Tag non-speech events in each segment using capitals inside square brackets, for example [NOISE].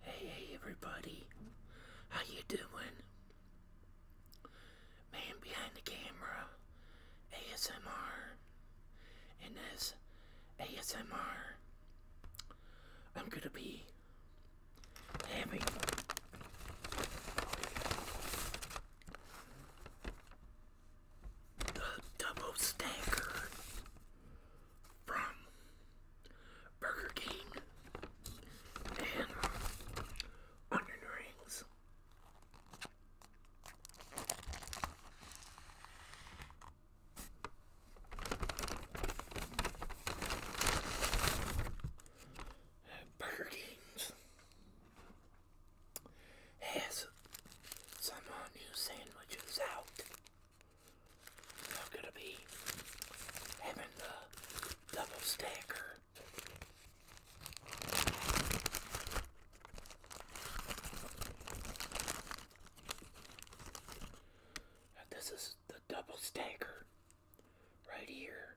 Hey, everybody. How you doing? Man behind the camera, ASMR. and this ASMR, I'm gonna be having the double stacker from Burger King and onion rings. Burger King's has some uh, new sandwiches out. I'm gonna be having the double stacker. this is the double stacker right here.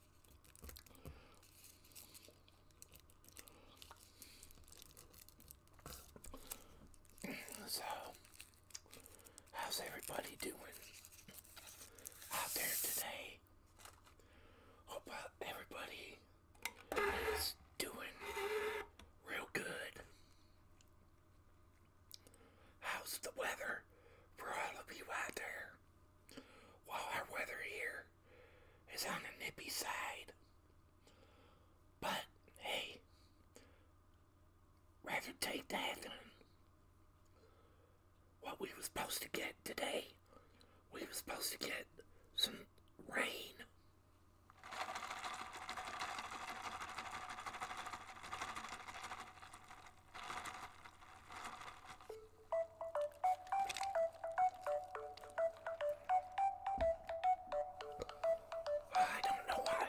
So, how's everybody doing out there today? Hope uh, everybody is doing real good. How's the weather for all of you out there? while our weather here is on the nippy side. But hey, rather take that than what we were supposed to get today. We were supposed to get some rain. I don't know why.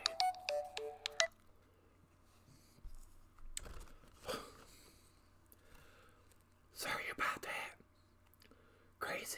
Sorry about that. Crazy.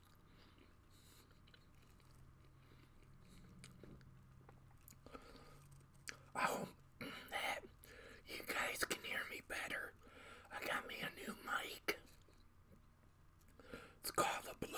I hope you guys can hear me better. I got me a new mic. It's called the Blue.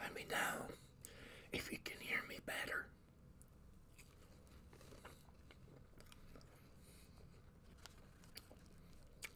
Let me know if you can hear me better.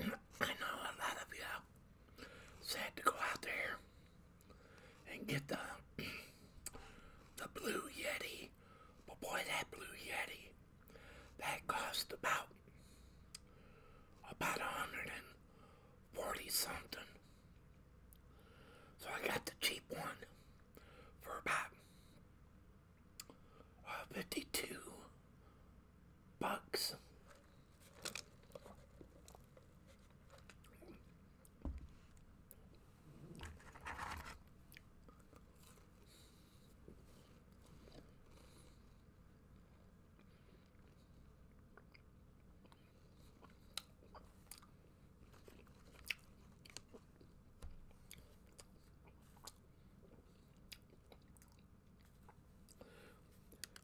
I know a lot of you said to go out there and get the [CLEARS THROAT] the Blue Yeti. But boy, that Blue Yeti, that cost about about 140 something. So I got the cheap one for about uh, 52 Bugs.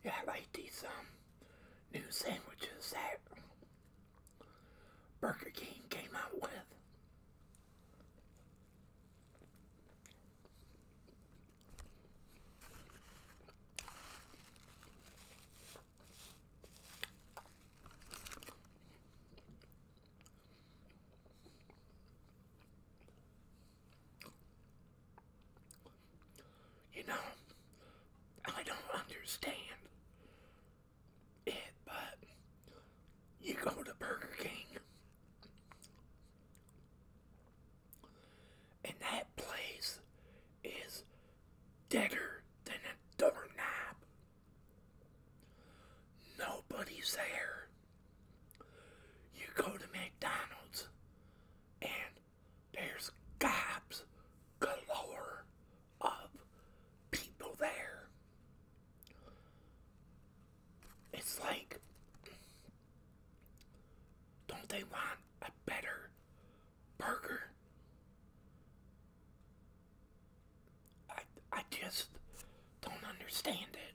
Yeah, I like these um, new sandwiches that Burger King came out with. You know, I don't understand it, but you go to Burger King and that place is deader than a doorknob. Nobody's there. You go to McDonald's and there's gobs galore of people there. It's like, don't they want a better burger? I, I just don't understand it.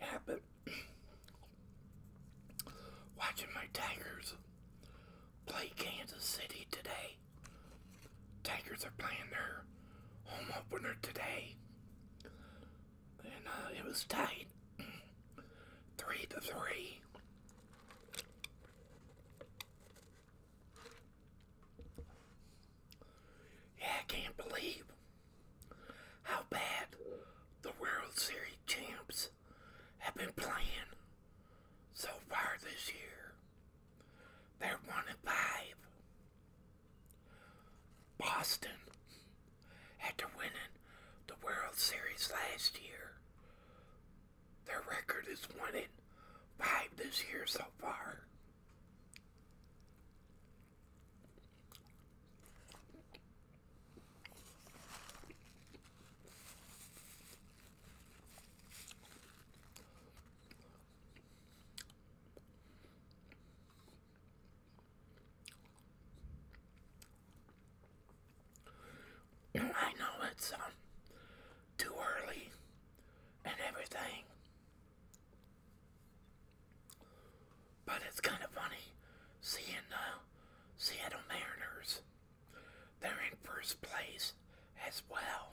Yeah, but watching my Tigers play Kansas City today. Tigers are playing their home opener today. And uh, it was tight. [CLEARS THROAT] three to three. Yeah, I can't believe how bad the World Series champs have been playing so far this year. They're one and five. Boston, after winning the World Series last year, their record is one in five this year so far. I know it's um, too early and everything, but it's kind of funny seeing the uh, Seattle Mariners. They're in first place as well.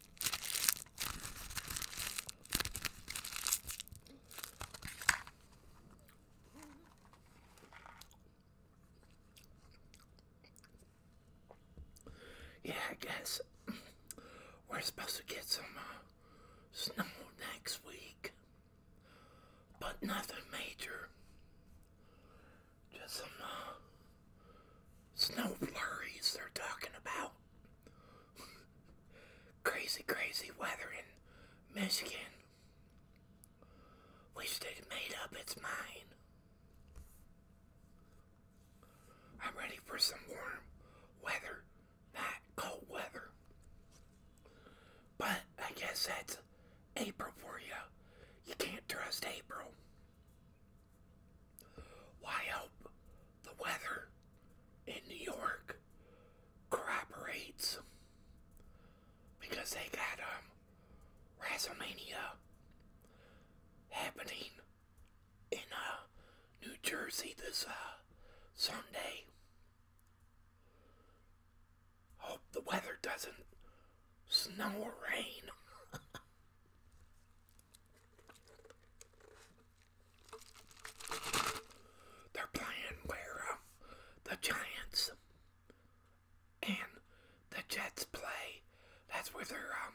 Yeah, I guess we're supposed to get some uh, snow next week, but nothing major. Just some uh, snow flurries they're talking about crazy, crazy weather in Michigan. Wish they'd made up its mind. I'm ready for some warm weather, not cold weather. But I guess that's April for you. You can't trust April. Well, hope the weather in New York corroborates because they got um WrestleMania happening in uh, New Jersey this uh, Sunday. Hope the weather doesn't snow or rain. [LAUGHS] They're playing where um, the Giants and the Jets play. That's where they're um,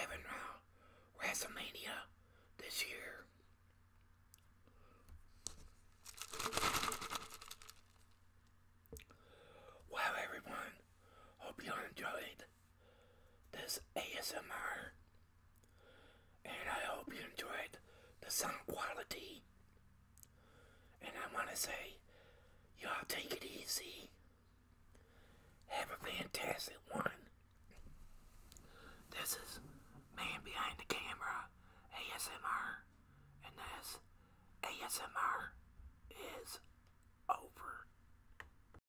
uh, WrestleMania this year. Well, everyone, hope you enjoyed this ASMR. And I hope you enjoyed the sound quality. And I want to say, y'all take it easy. Have a fantastic one. This is Man Behind the Camera ASMR. And this ASMR is over.